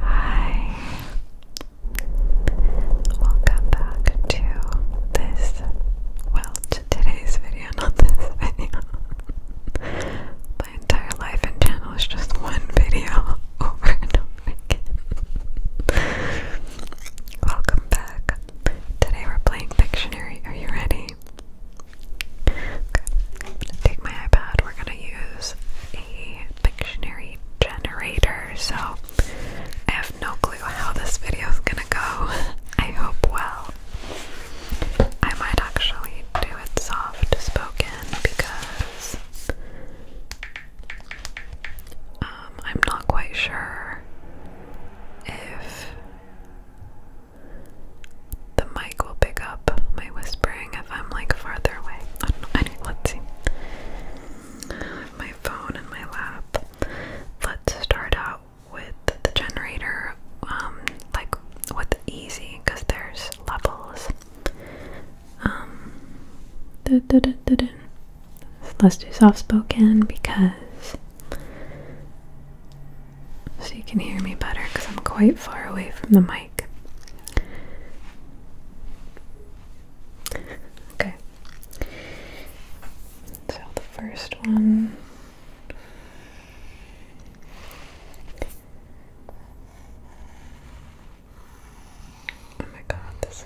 Hi, welcome back to this, well, to today's video, not this video. My entire life and channel is just one video over and over welcome back. Today we're playing Pictionary. Are you ready? take my iPad. We're gonna use a dictionary generator. So I have no clue how this video is gonna go. I hope well. I might actually do it soft spoken because um, I'm not quite sure if the mic will pick up my whispering if I'm like farther away. I don't know. Anyway, let's see. have my phone in my lap. Let's start out with the generator, um, like with easy, because there's levels. Um, Let's do soft spoken because so you can hear me better because I'm quite far away from the mic. Okay. So the first one Oh my god, this is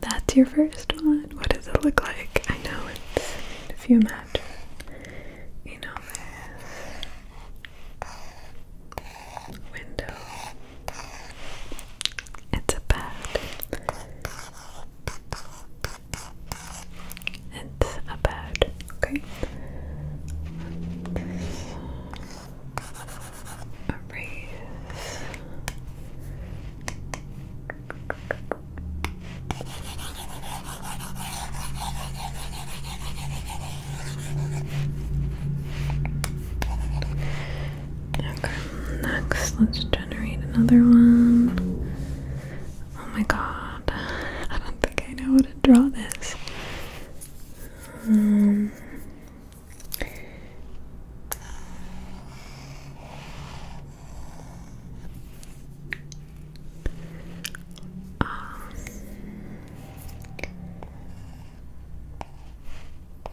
that's your first one. What does it look like? I know it's if you you know this window. It's a bed. It's a Okay. Erase. Okay, next, let's generate another one. Oh my god, I don't think I know how to draw this. Um, um,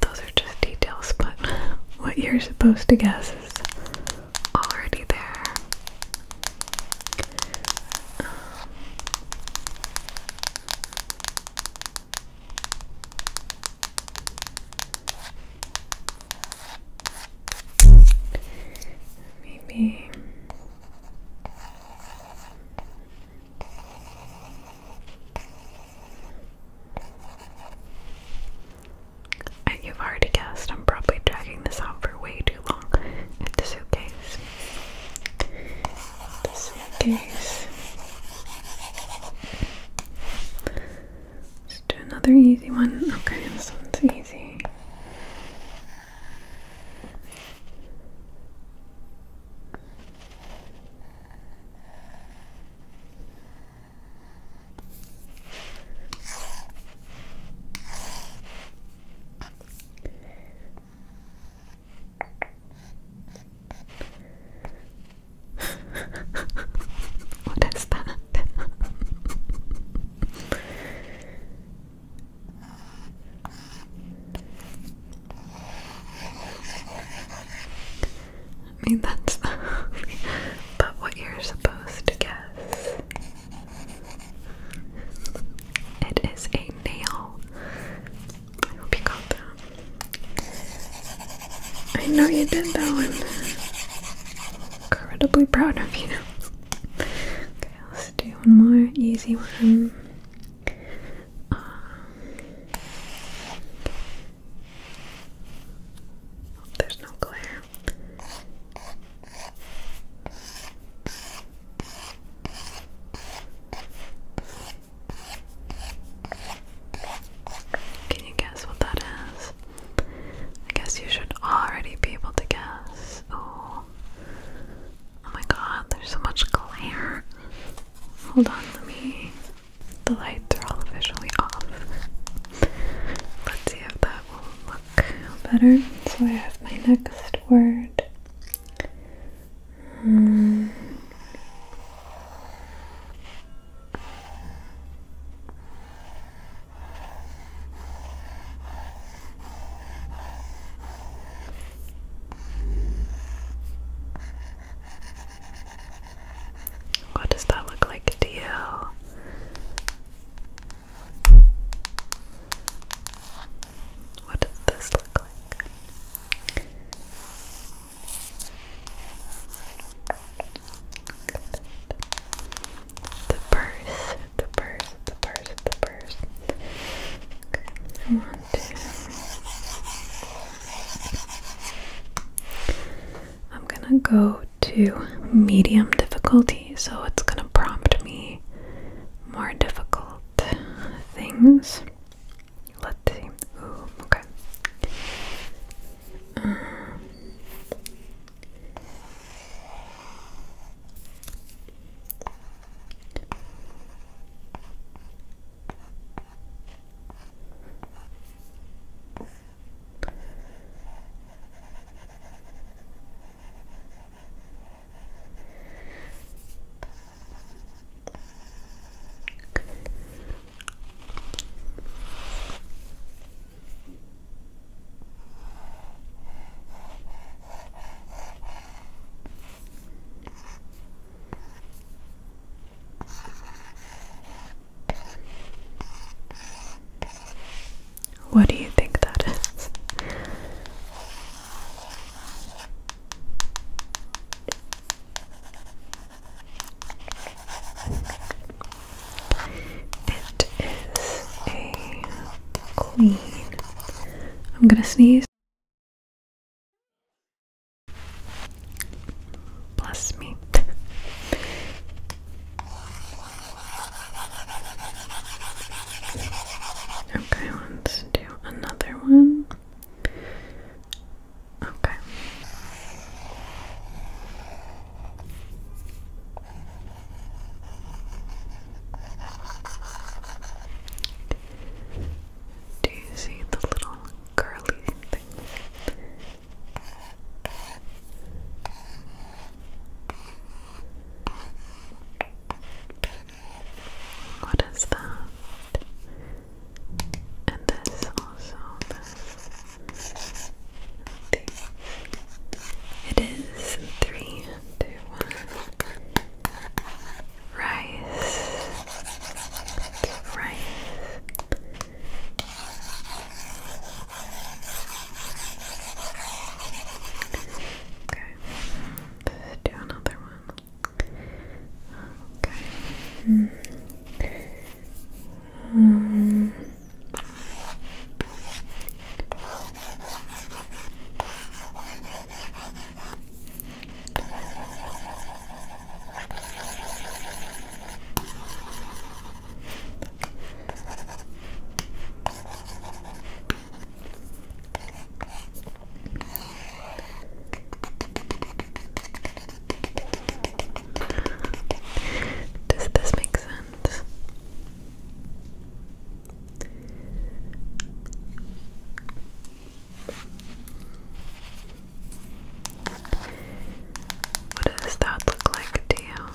Those are just details, but what you're supposed to guess is already there. Maybe I, you've already guessed. I'm probably dragging this out for way too long the suitcase. Just Let's do another easy one. Okay, this one's easy. what is that? I mean, that's but what you're supposed to guess. It is a nail. I hope you got that. I know you did that one. Incredibly proud of you. Okay, let's do one more easy one. Um, there's no glare. Can you guess what that is? I guess you should already be able to guess. Oh, oh my god, there's so much glare. Hold on, let me. The lights are all officially off. Let's see if that will look better. So I have my next word. Hmm. What does that look like to you? What does this look like? The purse, the purse, the purse, the purse. One, two. I'm gonna go to medium difficulty, so it's gonna prompt me more difficult things. Let's see. okay. What do you think that is? It is a clean. I'm gonna sneeze. Bless me. okay, one, two, another one. Okay. Do you see the little curly thing? What is that? And this also, It is three, two, one. Rice. rice. Okay. do another one. Okay. Mm. Um. Does this make sense? What does that look like to you?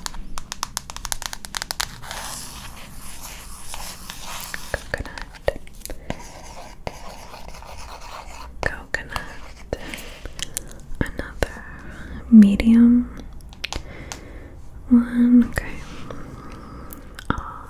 Coconut coconut, another medium one. Okay. Oh.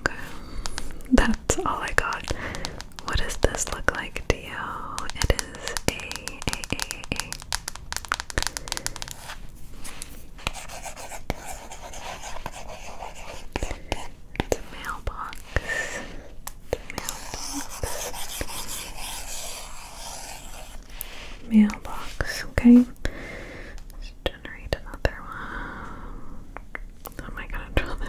Okay, that's all I got. What does this look like to It is a, a, a, a. It's a mailbox. mailbox. Mailbox, okay. Let's generate another one. How oh am I gonna draw this?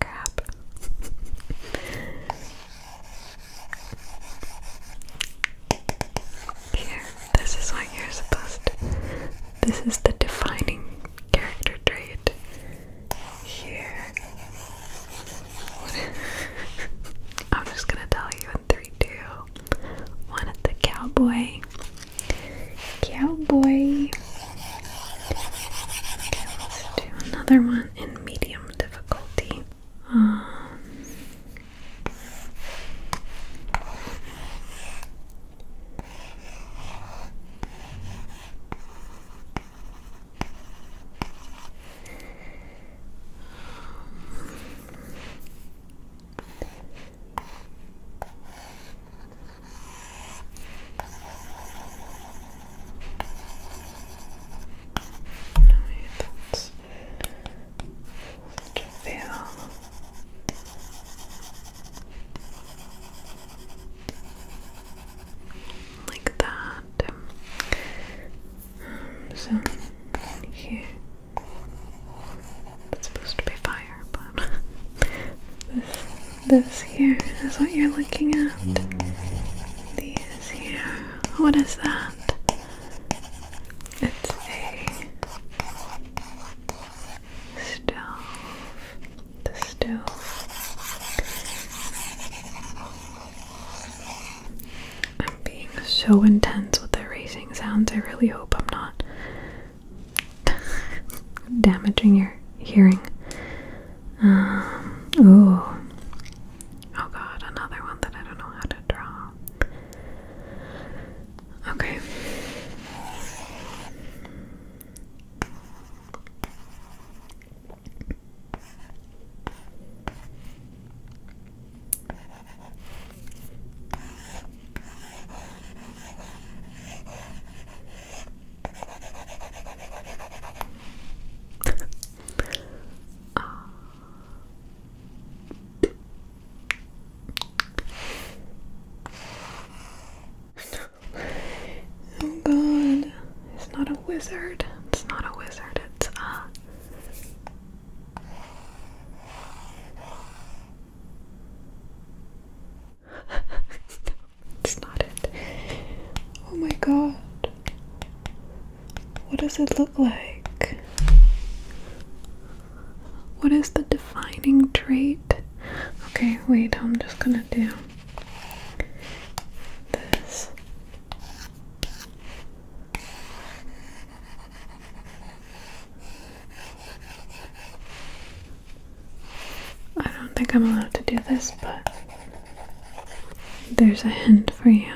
Crap. Here, this is what you're supposed This is the defining character trait. Here. I'm just gonna tell you in 3, at the cowboy. Cowboy. let's do another one in medium difficulty. Um, like that. Um, so here, it's supposed to be fine but this, here is what you're looking at. These here. What is that? It's a stove. The stove. I'm being so intense with the racing sounds. I really hope I'm not damaging your hearing. Um, ooh. Oh god, another one that I don't know how to draw. Okay oh god, it's not a wizard. It's not a wizard. It's a. Uh, it's not it. Oh my god. What does it look like? What is the defining trait? Okay, wait, I'm just gonna do this. I don't think I'm allowed to do this, but there's a hint for you.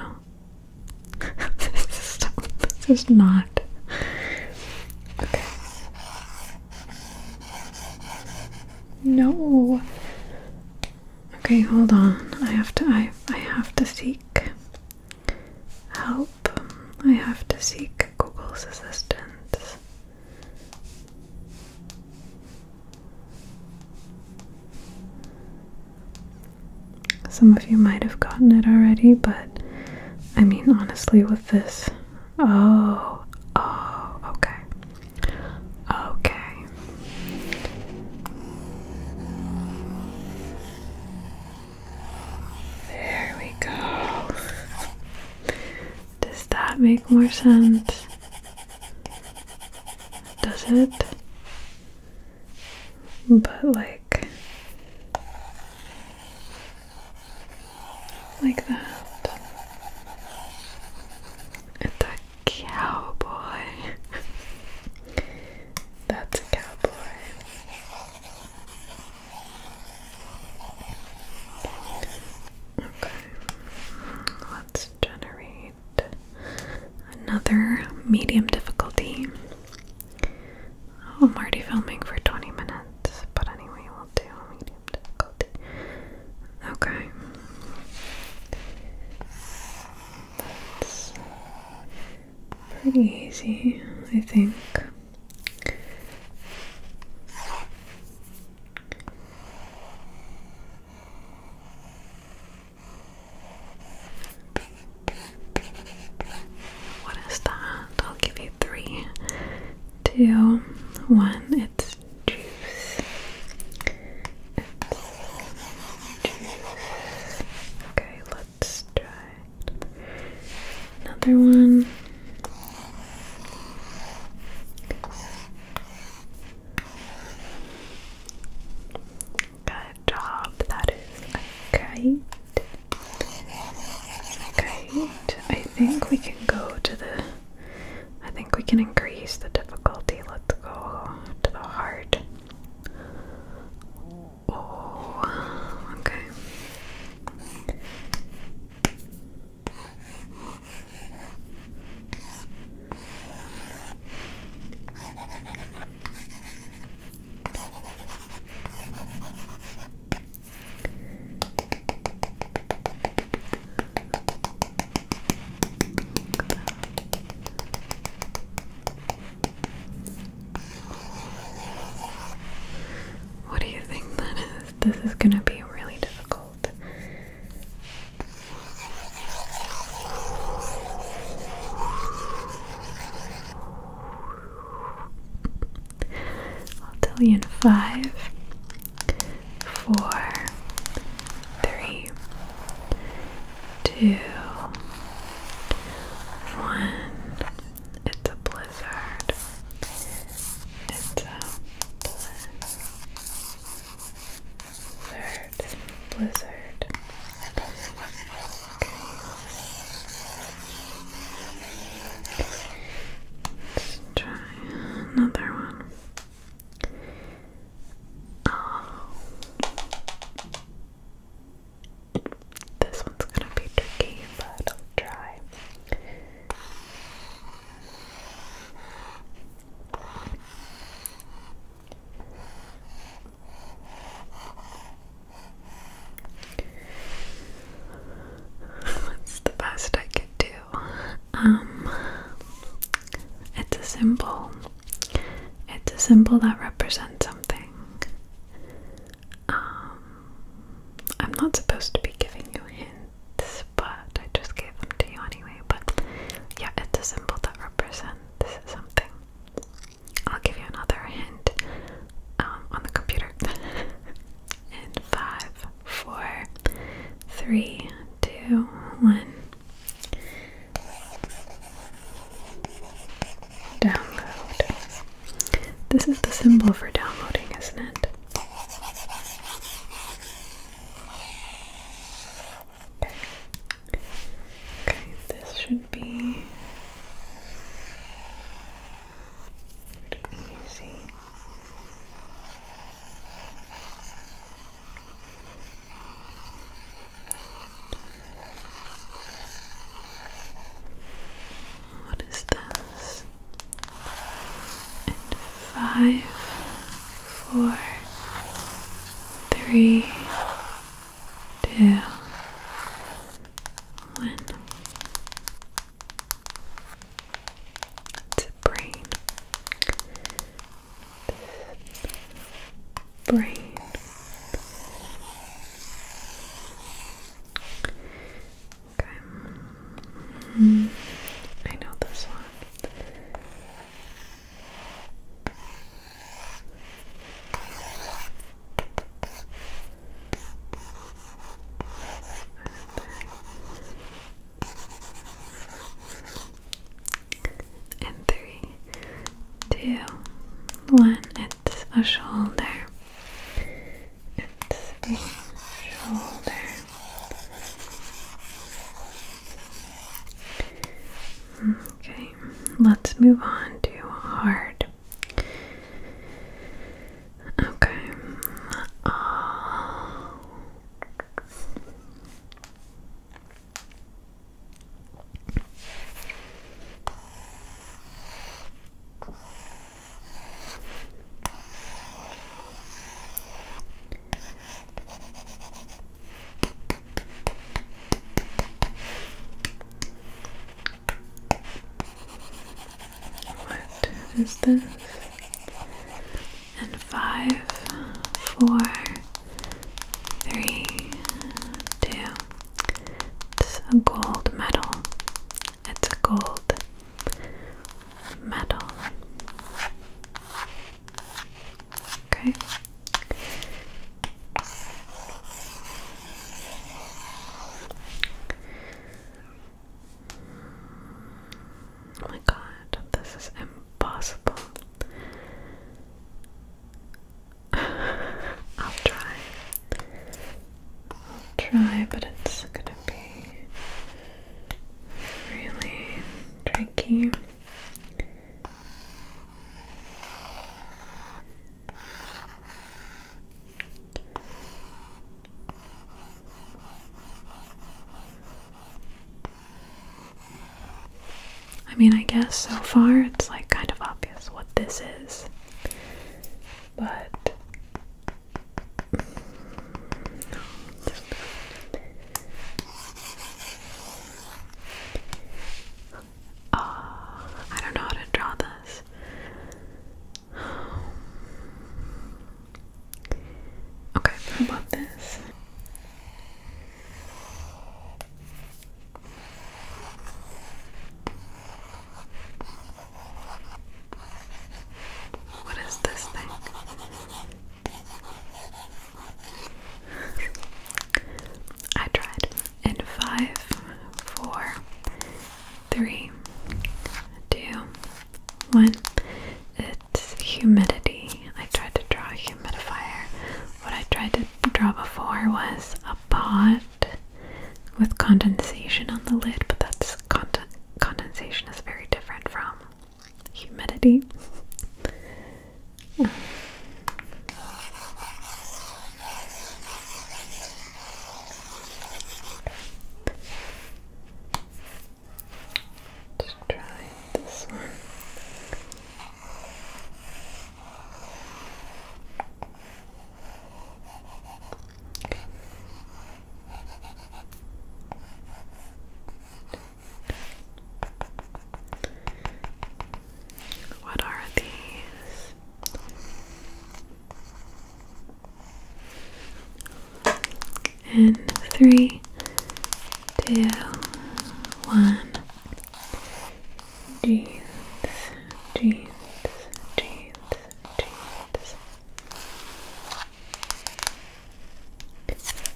this, is, not. Okay. No. Okay, hold on. I have to I I have to seek help. I have to seek Google's assistance. Some of you might have gotten it already, but I mean, honestly, with this. Oh, oh, okay. Okay. There we go. Does that make more sense? Does it? But like like that. It's a cowboy. That's a cowboy. Okay, let's generate another medium difficulty. Oh, I'm already filming for 20 minutes, but anyway, we'll do medium difficulty. Okay. That's pretty easy, I think. What is that? I'll give you three, two, one. It's juice. juice. Okay, let's try another one. Good job. That is a kite. I think we can go to the. I think we can increase the difficulty. Let's go to the heart. Oh, okay. What do you think that is? This is going to be really difficult. I'll tell you in five, four, three, two, one. It's a blizzard. It's a um, Blizzard. Blizzard. Okay. Let's try another one. Oh. This one's gonna be tricky, but I'll try. That's the best I could do. Um, it's a symbol. It's a symbol that represents something. Um, I'm not supposed to be giving you hints but I just gave them to you anyway. But yeah, it's a symbol that represents something. I'll give you another hint um, on the computer. and five, four, three, two, one. Download. This is the symbol for downloading, isn't it? Okay, this should be easy. What is this? five, four, three, two, one. brain. Brain. Okay. I know this one. And three, two, one. It's a shoulder. Okay, let's move on to hard. Okay. Oh. What is this? And five, four, three, two. It's a gold medal. It's a gold medal. Okay. Oh my god, this is impossible. I'll try. I'll try, but it's gonna be really tricky. I mean, I guess so far it's like kind of obvious what this is, but Oh, I don't know how to draw this. Okay, how about this? What is this thing? I tried. In five, four, three, two, one. It's humidity. I tried to draw a humidifier. What I tried to draw before was a pot with condensation on the lid, but that's condensation is very different from humidity. mm. try this one. What are these? And three, two, one. Jeans, jeans, jeans, jeans. Let's try.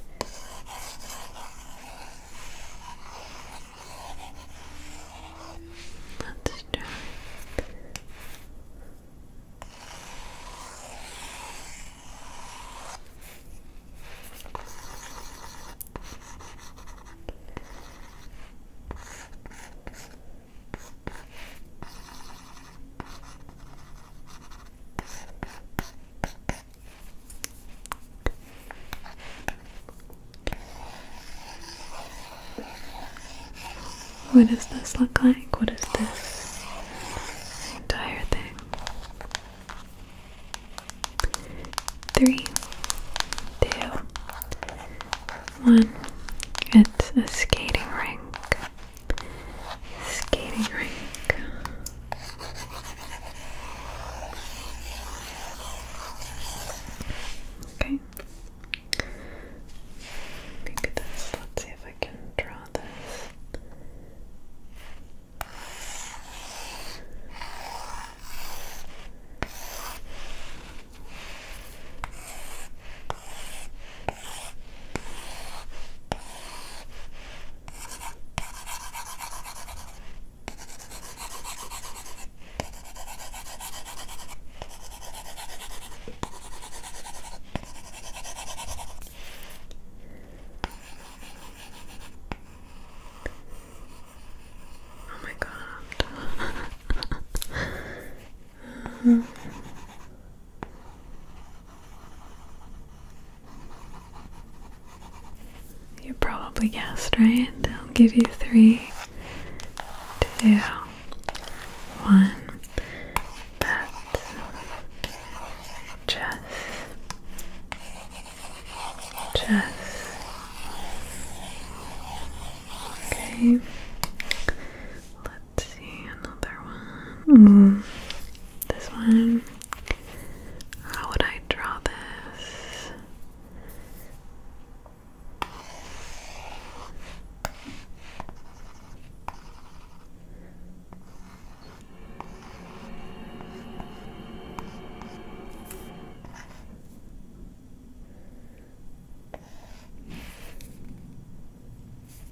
What does this look like? What is this entire thing? Three, two, one. It's a skating rink skating rink. Okay. Maybe this. Let's see if I can draw this. Oh my god. um, You probably guessed, right? I'll give you three, two, one. That's just, just. Okay see another one. Mm-hmm. This one. How would I draw this?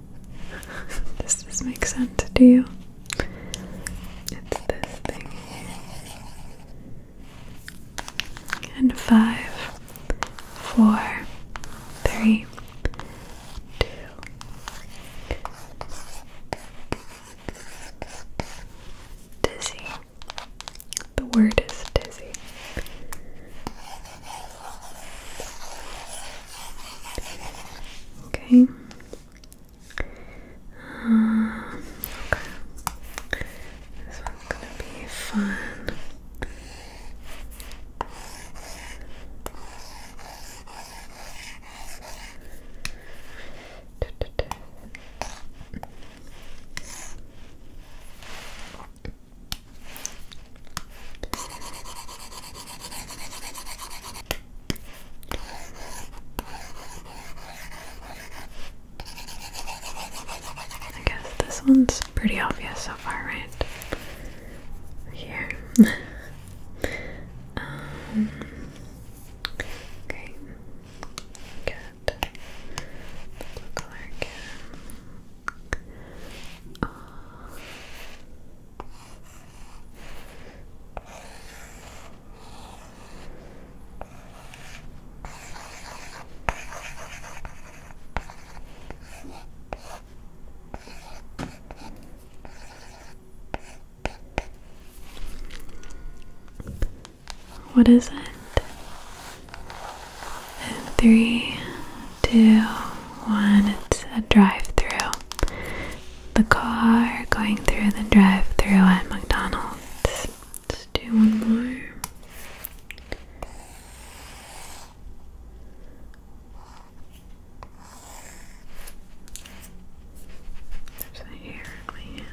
Does this make sense to you? It's this thing And five, four, three, two. Dizzy. The word is dizzy. Okay. Uh, okay. This one's gonna be fun. I guess this one's pretty obvious so far, right? Here. Um, okay. Good. color what is it? In three, two, one. It's a drive-through the car going through the drive through at McDonald's. Let's do one more. There's a hair in my hand.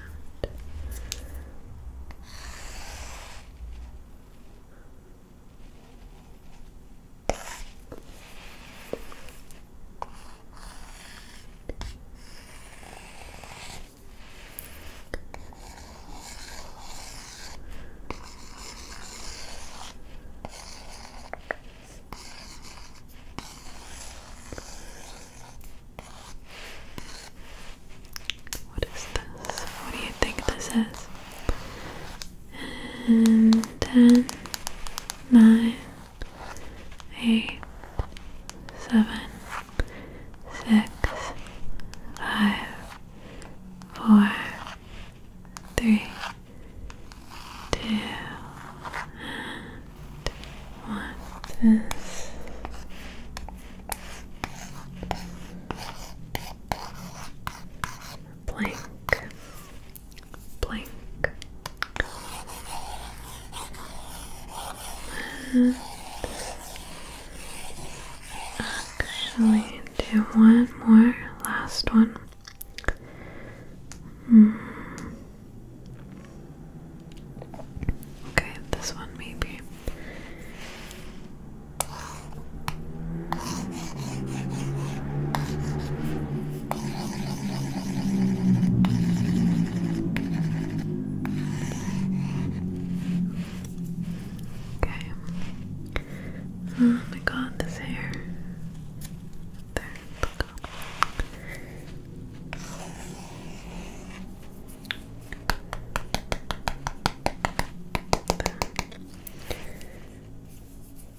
What is this? What do you think this is? And ten, nine, eight, seven, six, five, four, three, two, Blank. Blank. actually, do one more, last one. Hmm. Okay, this one maybe. Okay. Oh my god, this hair. There, look up. There.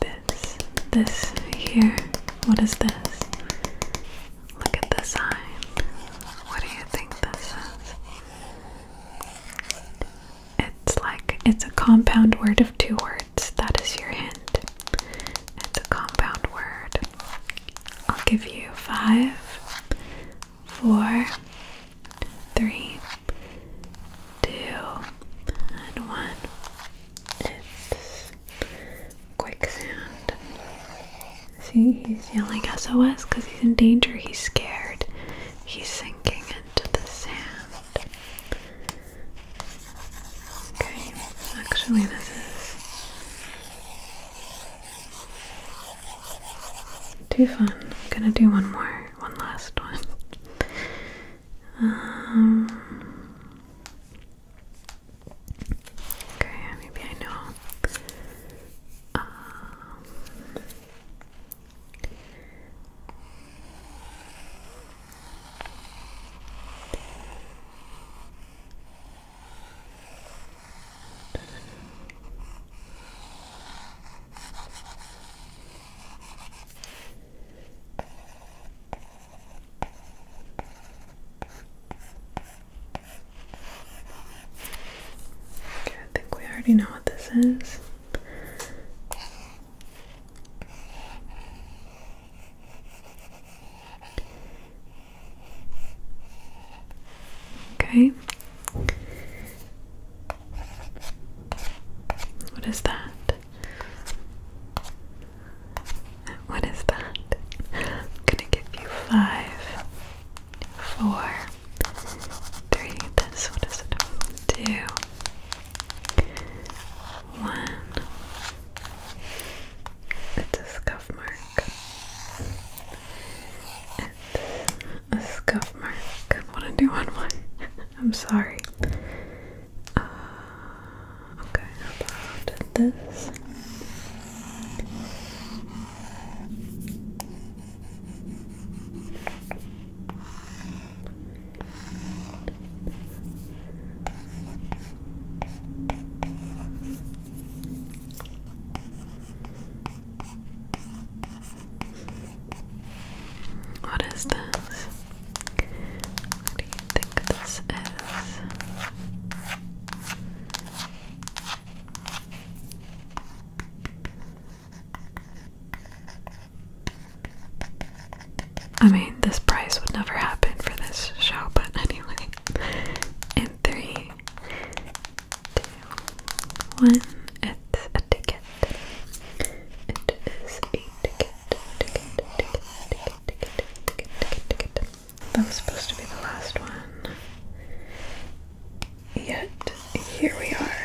this, this here. What is this? Look at the sign. What do you think this is? It's like it's a compound word of two words. That is your hint. It's a compound word. I'll give you five, four, three, two, and one. It's quicksand. See, he's yelling SOS because he's in danger. He's scared. He's sinking into the sand. Okay, actually, this is too fun. I'm gonna do one more, one last one. Um, Okay, maybe I know. Um, Okay, I think we already know what this is. Okay. What is that? What is that? I'm gonna give you five, four, three. This, what is it? Two, one. It's a scuff mark. a scuff mark. I want to do one more. I'm sorry. Uh, okay, how about this? What is this? do think this is? I mean, this price would never happen for this show, but anyway. In three, two, one, it's a ticket. It is that was supposed to be the last one. Yet, here we are.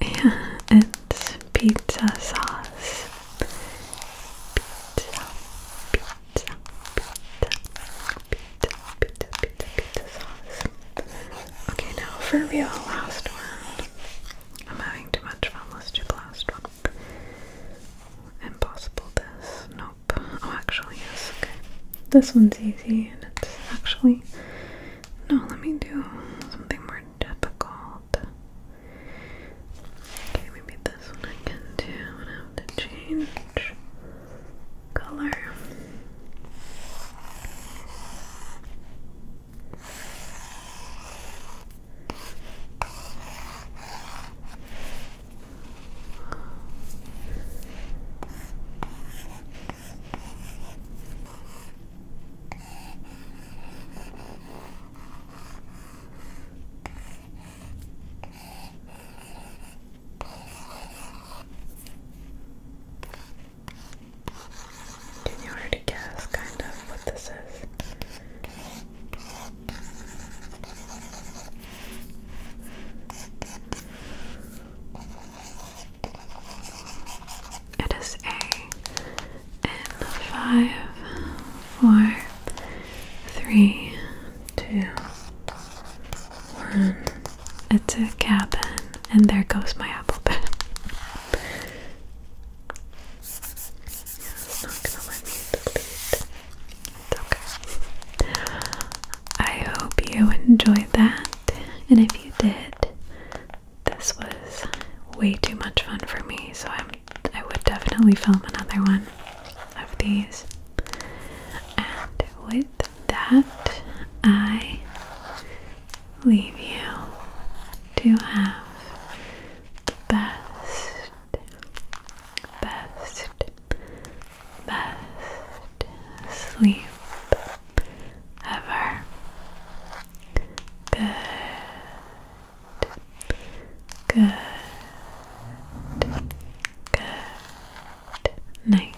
and pizza sauce. Pizza, pizza, pizza, pizza, pizza, pizza, sauce. Okay, now for real, last one. I'm having too much fun. Let's do the last one. Impossible this. Nope. Oh, actually, yes. Okay. This one's easy and it's actually no, let me do something more difficult. Okay, maybe this one I can do. i have to change color. Can you already guess kind of what this is? It is A in five, four, three, two, one. It's a cabin, and there goes my apple pen. It's not gonna let me delete. It's okay. I hope you enjoyed that, and if you did, this was way too much fun for me, so I'm I would definitely film another one of these. And with that, I leave you to have the best, best, best sleep ever. Good. Good. Good night.